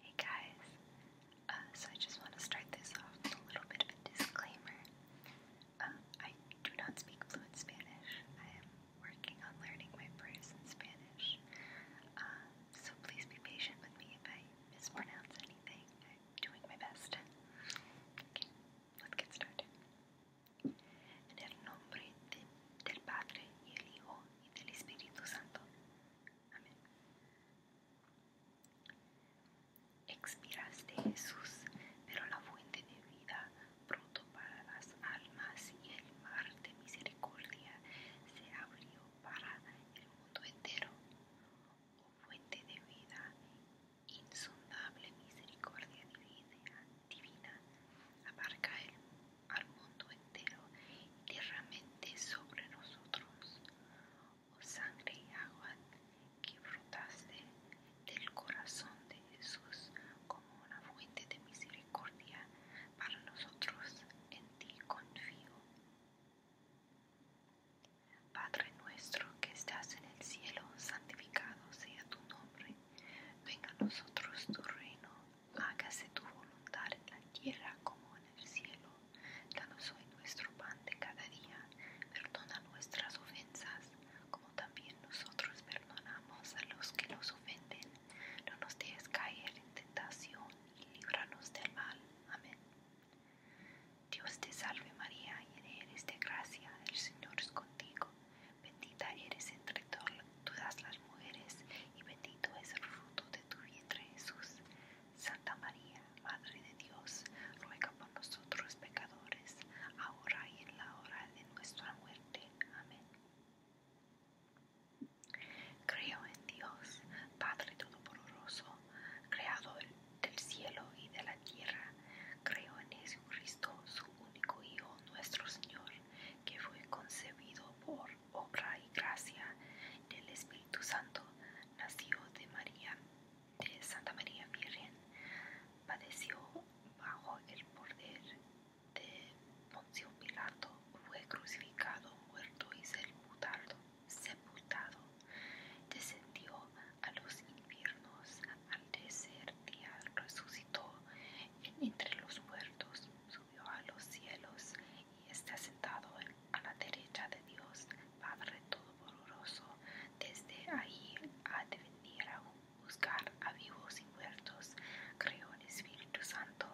Hey guys, uh, so I just want to start this off with a little bit of a disclaimer. Um, I do not speak fluent Spanish. I am working on learning my prayers in Spanish. Um, so please be patient with me if I mispronounce anything. I'm doing my best. Okay, let's get started. el nombre del Padre y el Hijo y del Espíritu Santo. Expiraste Jesús, pero la fuente de vida pronto para las almas y el mar de misericordia se abrió para el mundo entero. Oh fuente de vida, insondable misericordia divina, abarca el al mundo entero y sobre nosotros, oh sangre y agua que brotaste del corazón de Jesús como una fuente de misericordia para nosotros, en ti confío. Padre nuestro que estás en el cielo, santificado sea tu nombre, venga a nosotros tu reino hágase tu voluntad en la tierra como en el cielo. Danos hoy nuestro pan de cada día, perdona nuestras ofensas, como también nosotros perdonamos a los que nos ofenden. No nos dejes caer en tentación y líbranos del mal. Amén. Dios te salve María, llena eres de gracia, el Señor es contigo, bendita eres entre todas las todas las mujeres, y bendito es el fruto de tu vientre, Jesús. Santa María, Madre de Dios, ruega por nosotros pecadores, ahora y en la hora de nuestra muerte. Amén. Creo en Dios, Padre Todopoderoso, Creador del cielo y de la tierra. Creo en Jesucristo, su único Hijo, nuestro Señor, que fue concebido por obra y gracia del Espíritu Santo, nació de María, de Santa María Virgen, padeció bajo el poder de Poncio Pilato, fue crucificado, muerto y sepultado, sepultado, descendió a los infiernos, al desierto, resucitó entre los muertos subió a los cielos y está sentado a la derecha de Dios, Padre Todopoderoso. Desde ahí ha de venir a buscar a vivos y muertos. Creó el Espíritu Santo,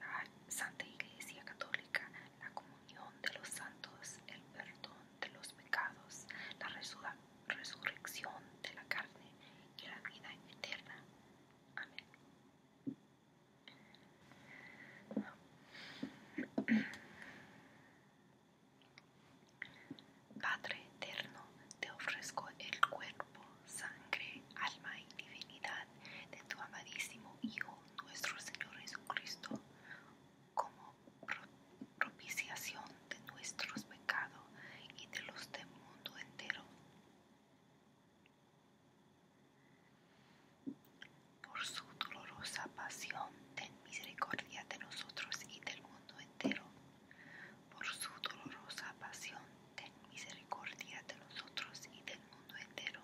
la Santa Iglesia Católica, la comunión de los santos, el perdón de los pecados, la resurrección de la carne y la vida eterna. Amén. Padre eterno, te ofrezco el cuerpo, sangre, alma y divinidad de tu amadísimo Hijo, nuestro Señor Jesucristo, como propiciación de nuestros pecados y de los del mundo entero. Por su dolorosa pasión, ten misericordia de nosotros y del mundo entero. Por su dolorosa pasión, ten misericordia de nosotros y del mundo entero.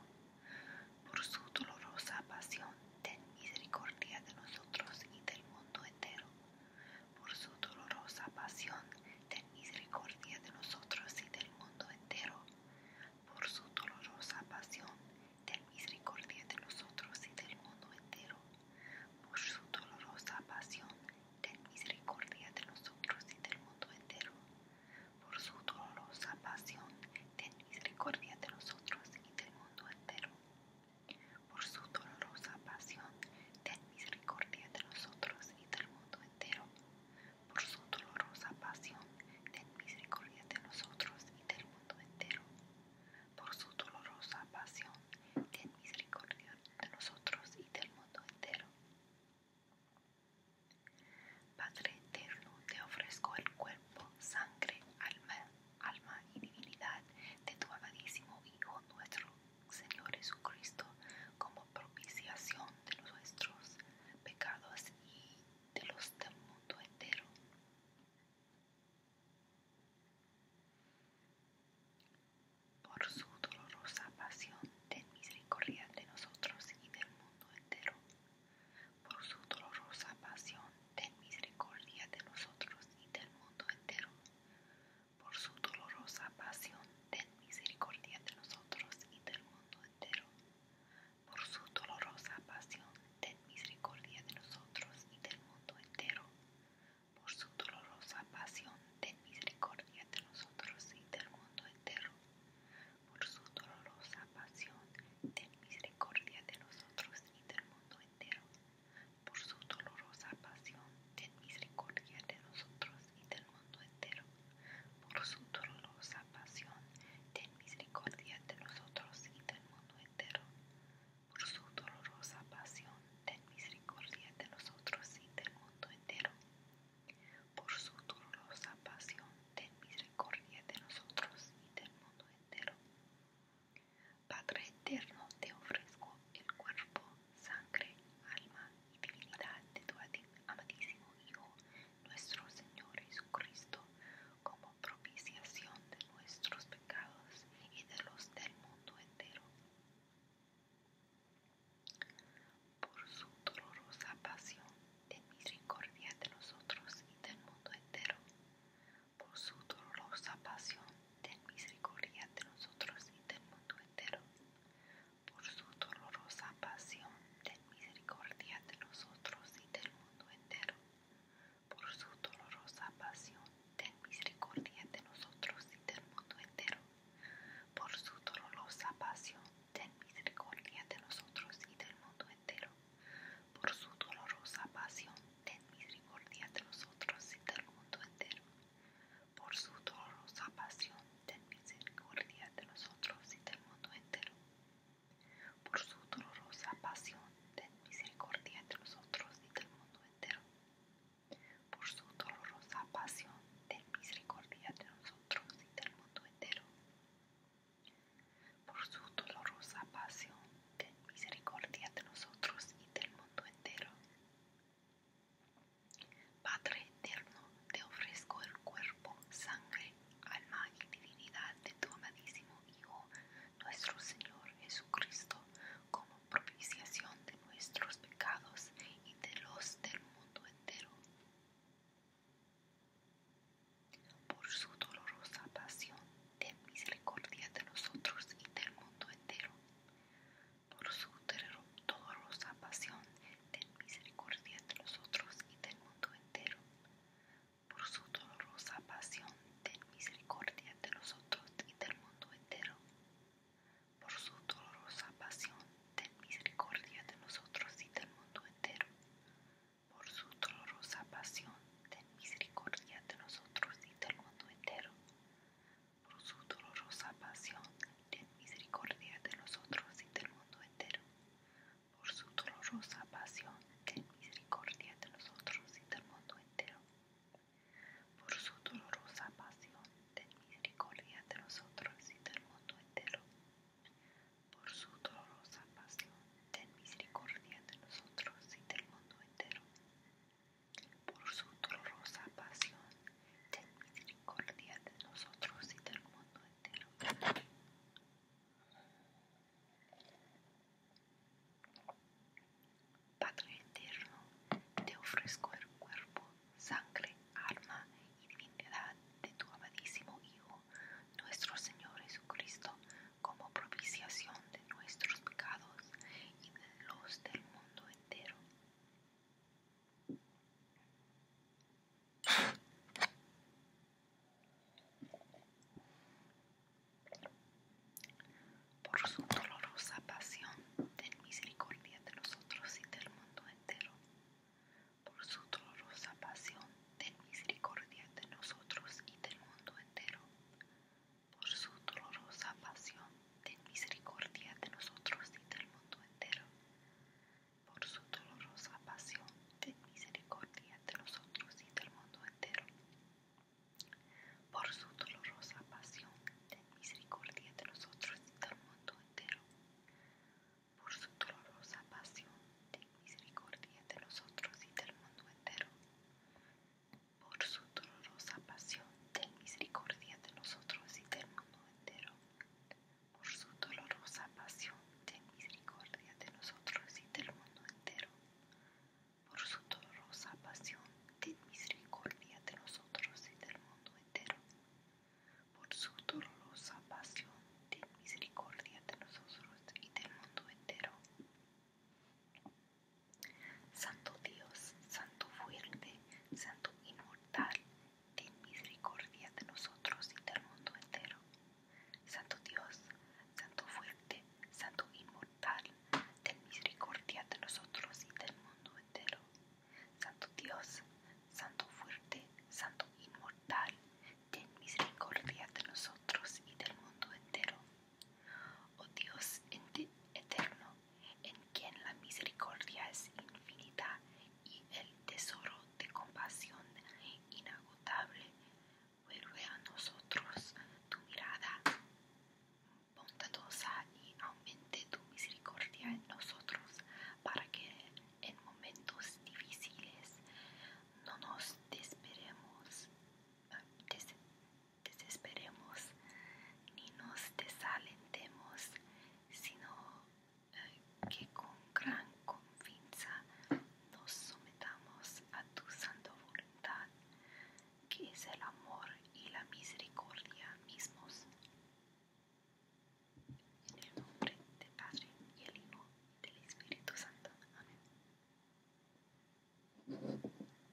Por su dolorosa pasión, ten misericordia de nosotros y del mundo entero por su dolorosa pasión, ten misericordia de nosotros y del mundo entero. Por su dolorosa pasión, ten misericordia de nosotros y del mundo entero. Por su dolorosa pasión, ten misericordia de nosotros y del mundo entero. Por su dolorosa pasión, ten misericordia de nosotros y del mundo entero. Por su dolorosa pasión, ten misericordia de nosotros y del mundo entero por su dolorosa pasión, ten misericordia de nosotros y del mundo entero. Por su dolorosa pasión, ten misericordia de nosotros y del mundo entero. Padre eterno, te ofrezco el cuerpo, sangre, alma, alma y divinidad de tu amadísimo Hijo nuestro Señor Jesucristo, como propiciación de nuestros pecados y de los del mundo entero. Por su dolorosa pasión, ten misericordia de nosotros y del mundo entero. Por su dolorosa pasión, ten misericordia de nosotros y del mundo entero por su dolorosa pasión, ten misericordia de nosotros y del mundo entero. Por su dolorosa pasión, ten misericordia de nosotros y del mundo entero. Por su dolorosa pasión, ten misericordia de nosotros y del mundo entero. Por su dolorosa pasión, ten misericordia de nosotros y del mundo entero. Por su dolorosa pasión, ten misericordia de nosotros y del mundo entero. Por su dolorosa pasión, ten misericordia de nosotros y del mundo entero. Por su dolorosa pasión, ten misericordia de nosotros y del mundo entero. Por su dolorosa pasión, ten misericordia de nosotros y del mundo entero. Padre eterno, te ofrezco el cuerpo, sangre, alma y divinidad de tu amadísimo Hijo, nuestro Señor Jesucristo, como propiciación de nuestros pecados y de los del mundo entero. Por su dolorosa pasión, ten misericordia de nosotros y del mundo entero. Por su dolorosa pasión, ten misericordia de nosotros y del mundo entero por su dolorosa pasión, ten misericordia de nosotros y del mundo entero. Por su dolorosa pasión, ten misericordia de nosotros y del mundo entero. Por su dolorosa pasión, ten misericordia de nosotros y del mundo entero. Por su dolorosa pasión, ten misericordia de nosotros y del mundo entero por su dolorosa pasión, ten misericordia de nosotros y del mundo entero. Por su dolorosa pasión, ten misericordia de nosotros y del mundo entero. Por su dolorosa pasión, ten misericordia de nosotros y del mundo entero. Por su dolorosa pasión, ten misericordia de nosotros y del mundo entero. Padre eterno, te ofrezco el cuerpo, sangre, alma y divinidad de tu amadísimo Hijo, nuestro Señor Jesucristo, como propiciación de nuestros pecados y de los del mundo entero. Por su dolorosa pasión, ten misericordia de nosotros y del mundo entero por su dolorosa pasión, ten misericordia de nosotros y del mundo entero. Por su dolorosa pasión, ten misericordia de nosotros y del mundo entero. Por su dolorosa pasión, ten misericordia de nosotros y del mundo entero. Por su dolorosa pasión, ten misericordia de nosotros y del mundo entero por su dolorosa pasión, ten misericordia de nosotros y del mundo entero. Por su dolorosa pasión, ten misericordia de nosotros y del mundo entero. Por su dolorosa pasión, ten misericordia de nosotros y del mundo entero. Por su dolorosa pasión, ten misericordia de nosotros y del mundo entero. Por su dolorosa pasión, ten misericordia de nosotros y del mundo entero. Padre eterno, te ofrezco el cuerpo, sangre, alma y divinidad de tu amadísimo Hijo, nuestro Señor Jesucristo, como propiciación de nuestros pecados y de los del mundo entero. Por su dolorosa pasión, ten misericordia de nosotros y del mundo entero. Por su dolorosa pasión, ten misericordia de nosotros y del mundo entero por su dolorosa pasión, de misericordia de nosotros y del mundo entero. Por su dolorosa pasión, de misericordia de nosotros y del mundo entero. Por su dolorosa pasión, ten misericordia de nosotros y del mundo entero. Por su dolorosa pasión, ten misericordia de nosotros y del mundo entero por su dolorosa pasión, ten misericordia de nosotros y del mundo entero. Por su dolorosa pasión, ten misericordia de nosotros y del mundo entero. Por su dolorosa pasión, ten misericordia de nosotros y del mundo entero. Por su dolorosa pasión, misericordia de nosotros y del mundo entero. Santo Dios, Santo fuerte, Santo inmortal, ten misericordia de nosotros y del mundo entero. Santo Dios, Santo fuerte, Santo inmortal, ten misericordia de nosotros y del mundo entero. Santo Dios, Santo fuerte, Santo inmortal, ten misericordia de nosotros y del mundo entero. Oh Dios eterno, en quien la misericordia es infinita y el tesoro de compasión inagotable, vuelve a nosotros tu mirada bondadosa y aumente tu misericordia en nosotros para que en momentos difíciles no nos desesperemos, desesperemos ni nos desalentemos, sino eh, que con gran confianza nos sometamos a tu santa voluntad, que es el amor y la misericordia mismos. En el nombre del Padre y el Hijo y del Espíritu Santo. Amén.